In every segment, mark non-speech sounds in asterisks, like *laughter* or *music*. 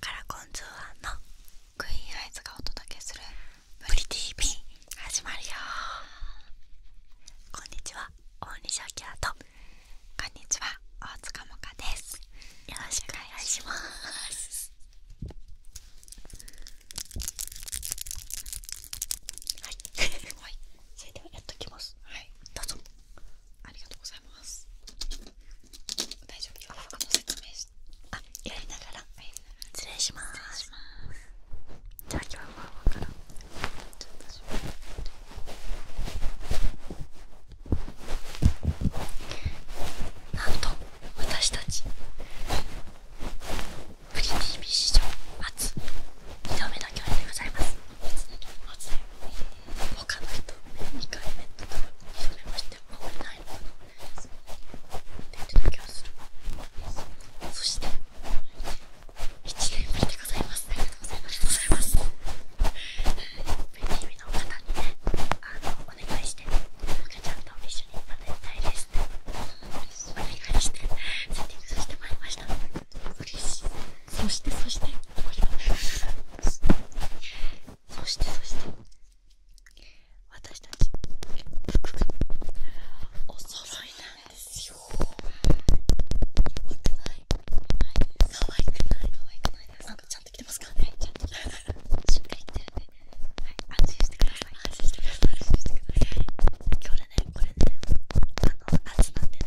カラコン通販のクイーンアイズがお届けする「ブリ TV」始まるよこんにちは大西明とこんにちは大塚もかですよろしくお願いしますはいそれではやっときますはいどうぞありがとうございます大丈夫ああの説明しあやりながら失礼しますじゃあ今日はわからん。なんと私たちフリ TV 史上つ。2度目の共演でございます他の人2回目と多分それましてあんまりないのかなって言ってた気がするそして1年目でございますありがとうございますベニーミの方にねあのお願いして赤ちゃんと一緒にまたやりたいですお願いしてセッティングさせてもらいました嬉しいそしてそしてそしてそして私たち服がお揃いなんですよやばくないかわいくないかわいくないですかちゃんと着てますかねちゃんと着てますしっかり着てるんで安心してください安心してください安心してください今日ねこれねあの夏なんで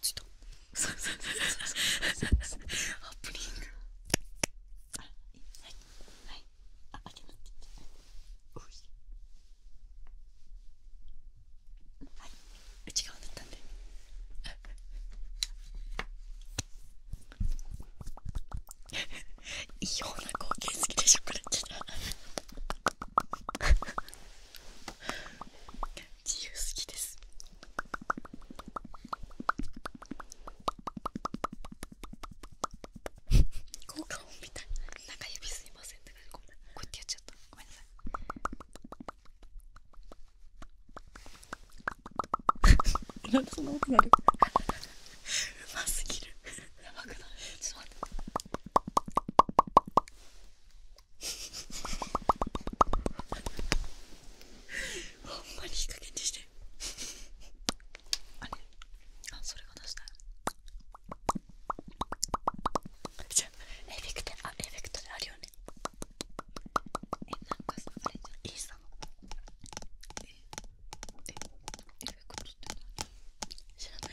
ちょっとオープニングはいはいあ開けなっていはい内だったんで異様な光景好きでしょこれって自由すぎです効果音みたいな指すいませんってこうやってやっちゃったごめんなさい *laughs* うますぎるやばくないちょほんまにいい加減にしてあれあそれが出したじエフェクトあエフェクトであるよねえなんかそれじゃイーサのええエフェクトって知らない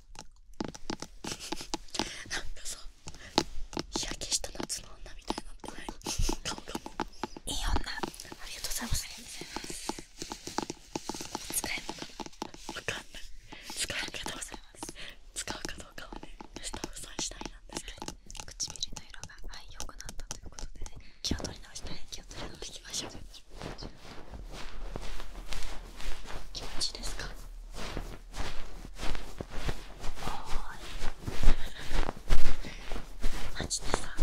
なんかさ日焼けした夏の女みたいになってない顔がもういい女ありがとうございます使えるのかわかんない使うかどうか使うかどうかはねスタッフさん次第なんですけど、唇の色がはい良くなったということでね気を取り直して気を取り直していきましょう気持ちですかマジでさ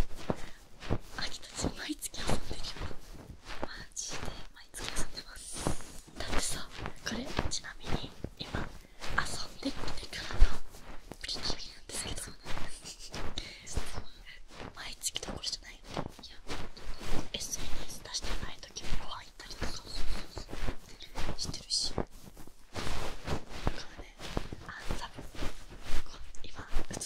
秋たち毎月遊んでるよマジで毎月遊んでますだってさこれちなみに今遊んでってからのプリキュアなんですけどそうなん毎月どころじゃないいや SNS 出してない時も入ったりとかしてるしだからねあんたぶん今映ってるわけで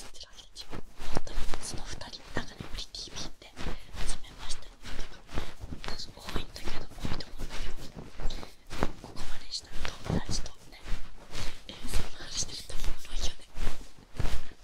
しょ本当にその2人なんかね TV で始めましたとか多いんだけど多いと思うんだけどここまでしたら友達とねえー、そんな話してると思うよね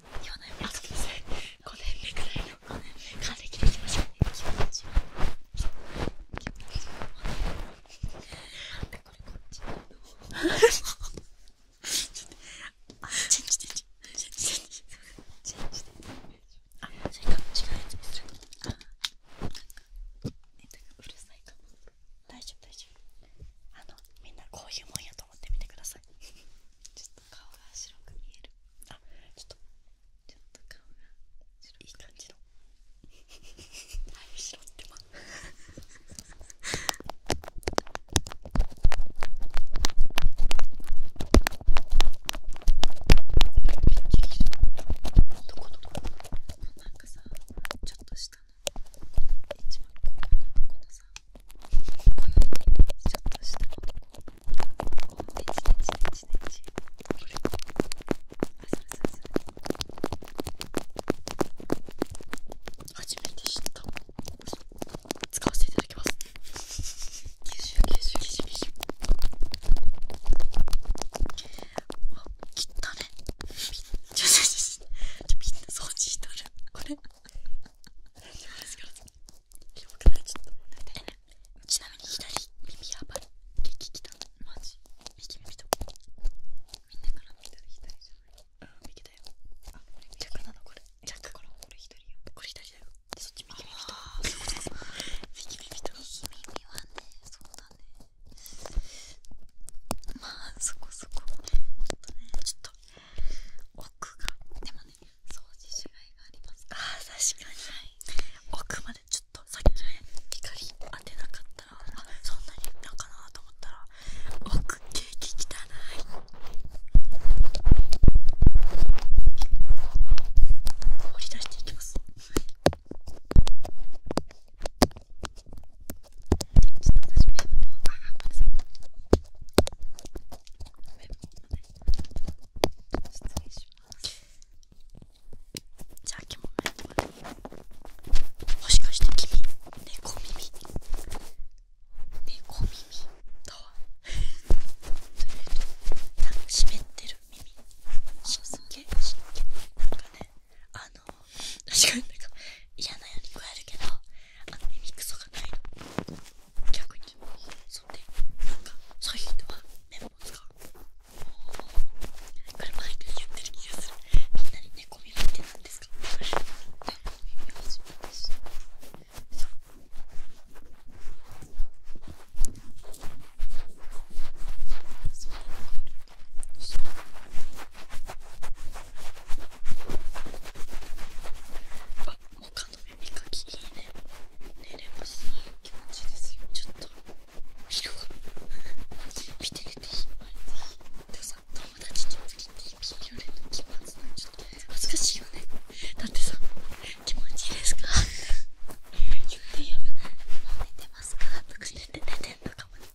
り日本のきません5年目くらいの還暦できましょう気持ちは気持ちはなんでこれこっちなのちょっとあチェンジチェンジチェンジチェンジチェンジあそれか違うやつにするあなんかネタがうるさいかも大丈夫大丈夫あのみんなこういうもんやと思ってみてくださいちょっと顔が白く見えるあちょっとちょっと顔が白いい感じのはい白ってまどこどこなんかさちょっとした。一番ここのちょっとしたこうねちねちねちねちこれあそれそれそれ初めて知った使わせていただきます九州九州九州九州あ切ったねちょちょちょちょちょみんな掃除したるこれよろしくお願いしますちょっとえ、ね、ちなみに左耳やばい激きたマジ右耳とみんなから見てる左じゃない右だよあこれ逆なのこれ逆からこれ左よこれ左だよそっち右耳と右耳と右耳はねそうだねまあそこそこちょっとねちょっと奥がでも掃除しがいがありますあ確かに、奥までちょっとさっきね光当てなかったらそんなにいったかなと思ったら奥ケーキ汚い掘り出していきます、はいちょっと私メモあごめんなさい失礼しますじゃあ、きもめんまでもしかして君、猫耳猫耳とはなんか湿ってる耳すんげえ湿ってなんかねあの確かになんか嫌なように食えるけどあの耳くそがないの逆にそんでなんかそういう人はメモも使うこれ毎回言ってる気がするみんなに猫耳って何ですかてる耳をしまそうそうそうあモの耳かきいいね寝れます気持ちいいですよちょっと昼が見て寝てしまいでてさ友達に次って見られるの気持ちいちょっと恥ずかしいよねだってさ気持ちいいですか言ってやるもう寝てますかとか寝て寝てんのかもね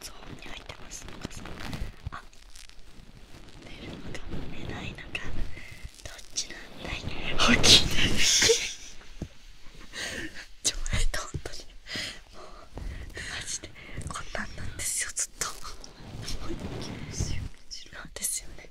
ゾーンに入ってますのかさあ寝るのか寝ないのかどっちなんだい起きないちょえっと本当にもうマジでこんなんなんですよずっとなんですよね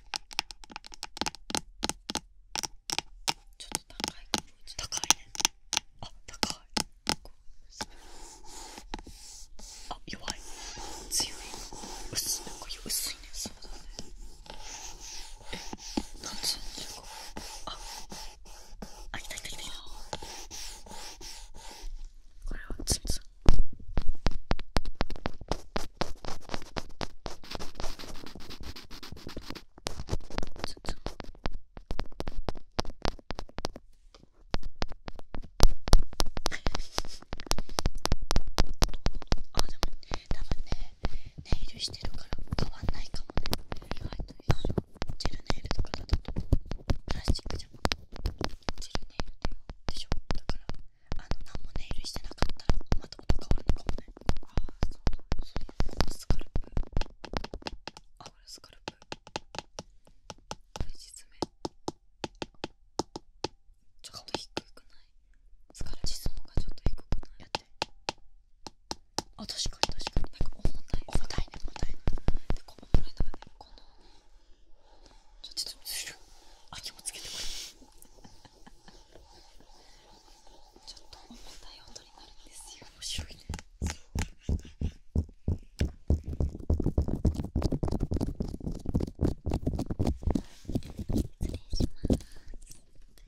ちょっと高い高いねあったかいあ弱い強い薄いなんか薄いねそうだねえ何時35ああいたいたいたいたこれはつんつんつつあでも多分ねネイルしてるから変わんないかもね意外とい緒ジェルネイルとかだとプラスチックじゃんジェルネイルでしょだからあの何もネイルしてなかったらまた音変わるねああそうだこのスカルプあこれスカルプこれ実名ちょっと低くないスカルプがちょっと低くないやってあ確か確かになんか重たい重たいね重たいねでこのぐらねこのちょっとちょっとあ気もつけてくれちょっと重たい音になるんですよ面白いね失礼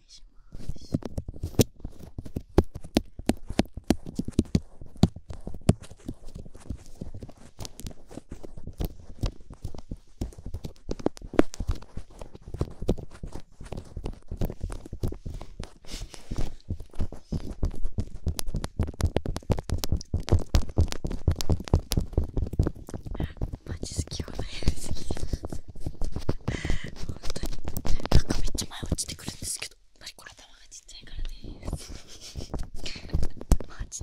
します失礼しますマジ好きよね本当になんかめっちゃ前落ちてくるんですけどやっこれ頭がちっちゃいからね。マジ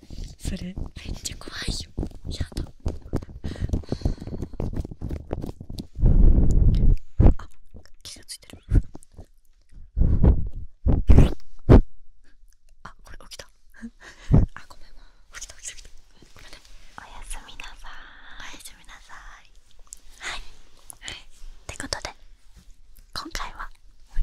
それめっゃ怖いよやだあ気ついてるあこれ起きたあごめん起きた起きたおやすみなさいおやすみなさいはい、はい、ってことで今回は、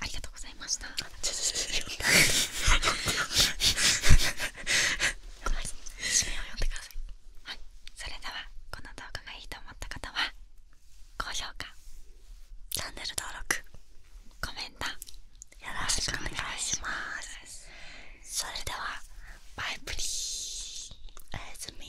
ありがとうございました。それではこの動画がいいと思った方は高評価、チャンネル登録、コメントよろしくお願いします。それではバイプリー。おやすみ。